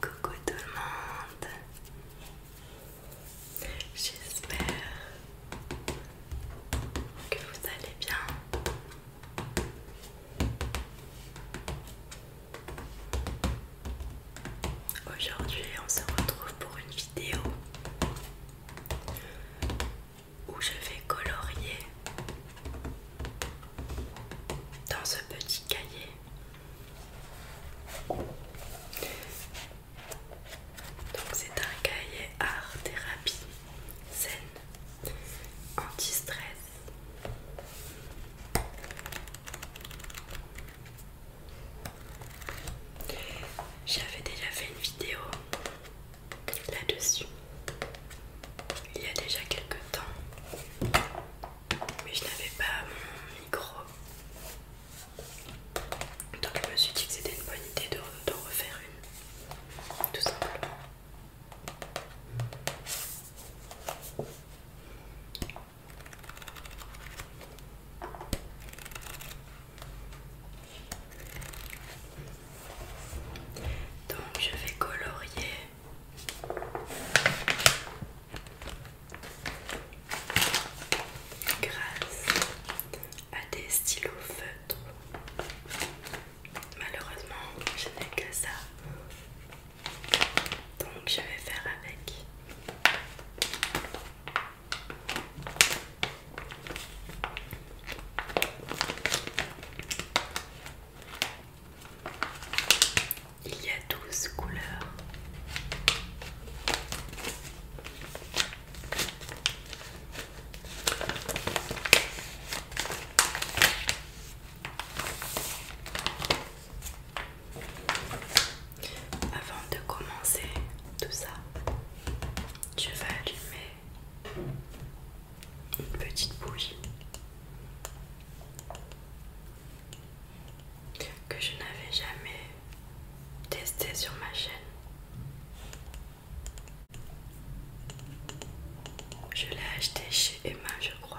Coucou tout le monde, j'espère que vous allez bien. Aujourd'hui on se retrouve pour une vidéo où je vais colorier dans ce petit cahier donc c'est un cahier art thérapie saine anti-stress. J'avais déjà fait une vidéo là-dessus il y a déjà quelques temps mais je n'avais pas mon micro. Donc je me suis dit que c'était une bonne idée de refaire une, tout simplement. Donc je vais colorier grâce à des stylos feutres. Malheureusement, je n'ai que ça. Donc je vais faire avec. Il y a 12 couleurs. Avant de commencer tout ça, je vais allumer une petite bougie que je n'avais jamais testé sur ma chaîne. Je l'ai acheté chez Emma, je crois.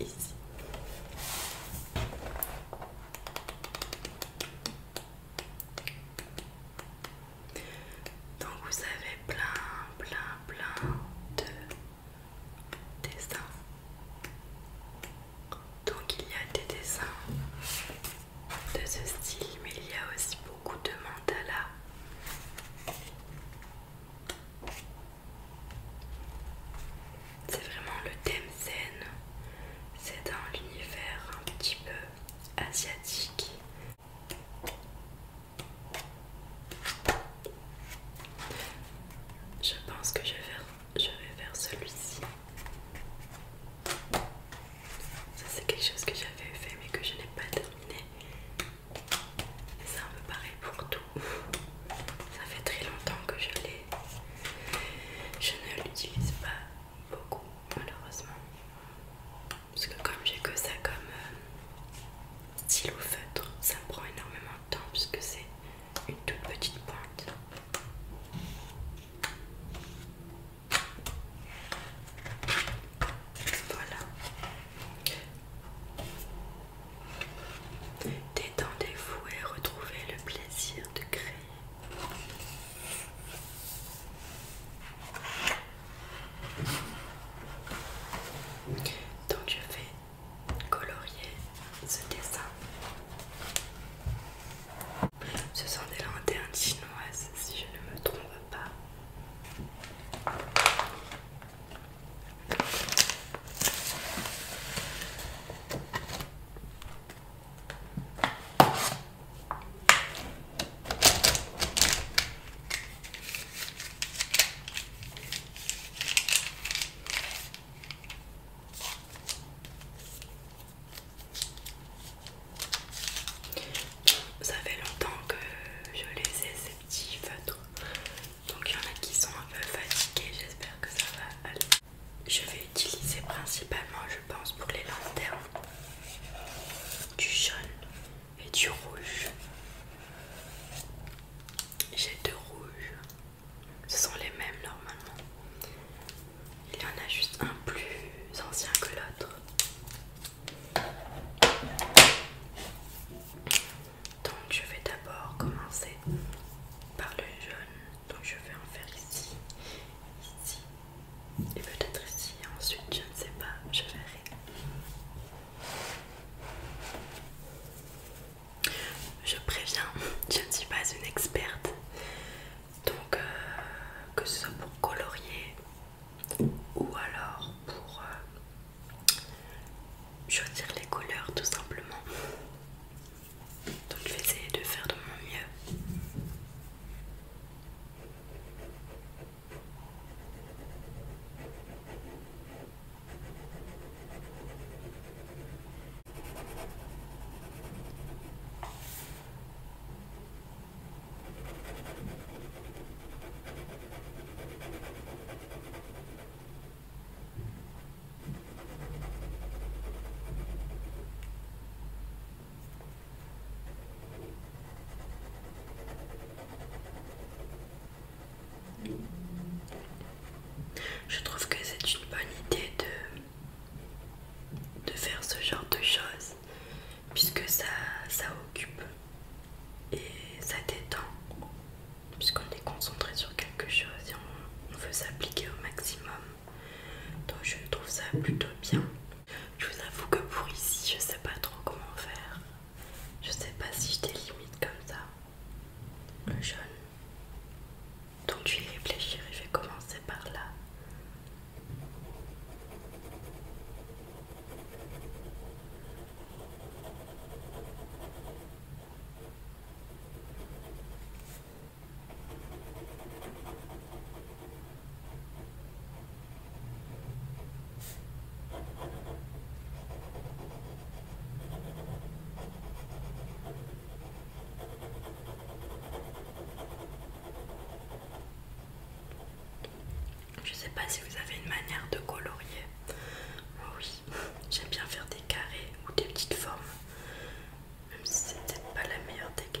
Ici. Donc vous avez plein, plein, plein de dessins. Donc il y a des dessins de ce style, mais il y a aussi beaucoup de mandala. C'est vraiment le thème scène, C'est dans l'univers un petit peu asiatique. Je pense que je vais faire celui-ci. Ça c'est quelque chose que j'avais fait mais que je n'ai pas terminé. C'est un peu pareil pour tout. Ça fait très longtemps que je l'ai. Je ne l'utilise pas beaucoup malheureusement. Parce que comme j'ai que ça comme euh, stylo feutre, ça me prend énormément de temps puisque c'est une toute petite pointe. Voilà. Détendez-vous et retrouvez le plaisir de créer. Donc je vais colorier ce dessin. Ce sont des lanternes chinoises si je ne me trompe pas. Ça fait longtemps que je les ai petits Donc il y en a qui sont un peu fatigués, j'espère que ça va aller. Je vais utiliser principalement, je pense, pour les lanternes, du jaune et du rouge. J'ai deux rouges, ce sont les mêmes normalement. Il y en a juste un plus ancien que l'autre. Donc je vais d'abord commencer par le jaune. Donc je vais en faire ici, ici et peut-être ici. Ensuite je ne sais pas, je verrai. Je préviens, je ne suis pas une experte. Donc euh, que ce soit pour colorier ou alors pour... Euh, je choisir les couleurs tout simplement. Donc je vais essayer de faire de mon mieux. Je trouve que c'est une bonne idée de, faire ce genre de choses puisque ça, ça occupe et ça détend puisqu'on est concentré sur quelque chose et on, veut s'appliquer au maximum. Donc je trouve ça plutôt bien. Je vous avoue que pour ici, je sais pas trop comment faire. Je sais pas si je délimite comme ça le euh, jaune. Donc je vais réfléchir et je vais commencer par là. Je sais pas si vous avez une manière de colorier Oh oui, j'aime bien faire des carrés ou des petites formes, même si c'est peut-être pas la meilleure technique.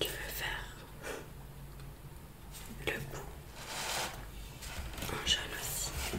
Je veux faire le bout en jaune aussi.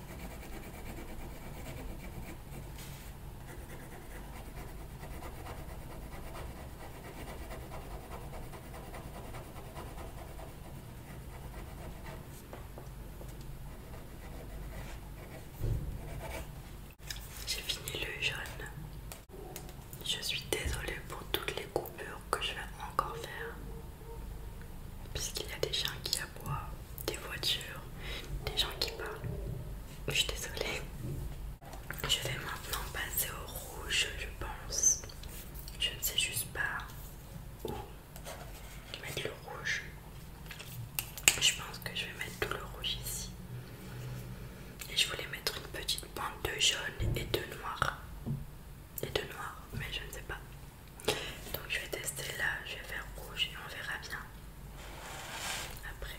J'ai fini le jaune. Je suis désolée pour toutes les coupures que je vais encore faire. Puisqu'il y a des gens qui aboient, des voitures, des gens qui parlent. Je suis désolée. Je vais maintenant passer au rouge, je pense. Je ne sais juste pas où mettre le rouge. Je pense que je vais mettre tout le rouge ici. Et je voulais mettre une petite Bande de jaune et de noir. Et de noir, mais je ne sais pas. Donc je vais tester là, je vais faire rouge et on verra bien après.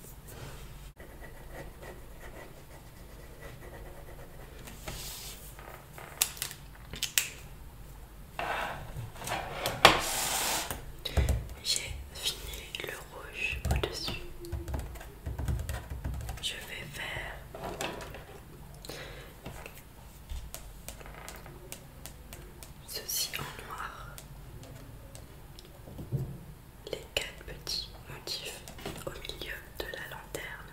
J'ai fini le rouge au-dessus. Je vais faire ceci en noir les quatre petits motifs au milieu de la lanterne.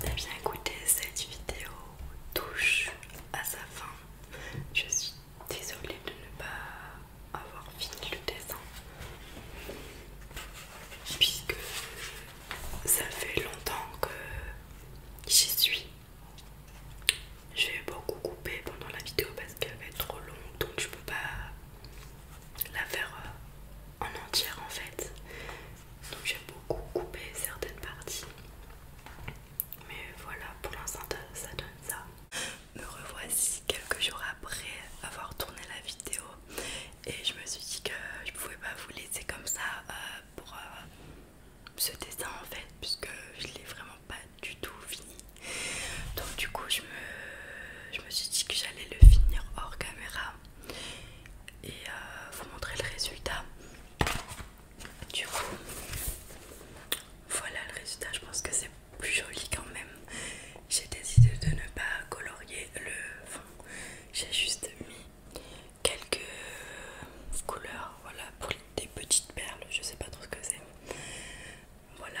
Eh bien écoutez, cette vidéo touche à sa fin. Je suis désolée de ne pas avoir fini le dessin. Puisque ça fait longtemps que j'y suis. Je vais beaucoup couper pendant la vidéo parce qu'elle va être trop longue donc je peux pas la faire euh, en entière en fait. Donc j'ai beaucoup coupé certaines parties. Mais voilà, pour l'instant ça donne ça. Me revoici quelques jours après avoir tourné la vidéo et je me suis dit que je pouvais pas vous laisser comme ça euh, pour euh, ce dessin en fait puisque je l'ai vraiment pas du tout fini. Donc du coup je me je me suis dit que j'allais le finir hors caméra et euh, vous montrer le résultat. Du coup, voilà le résultat. Je pense que c'est plus joli quand même. J'ai décidé de ne pas colorier le fond. J'ai juste mis quelques couleurs, voilà, pour des petites perles. Je sais pas trop ce que c'est. Voilà.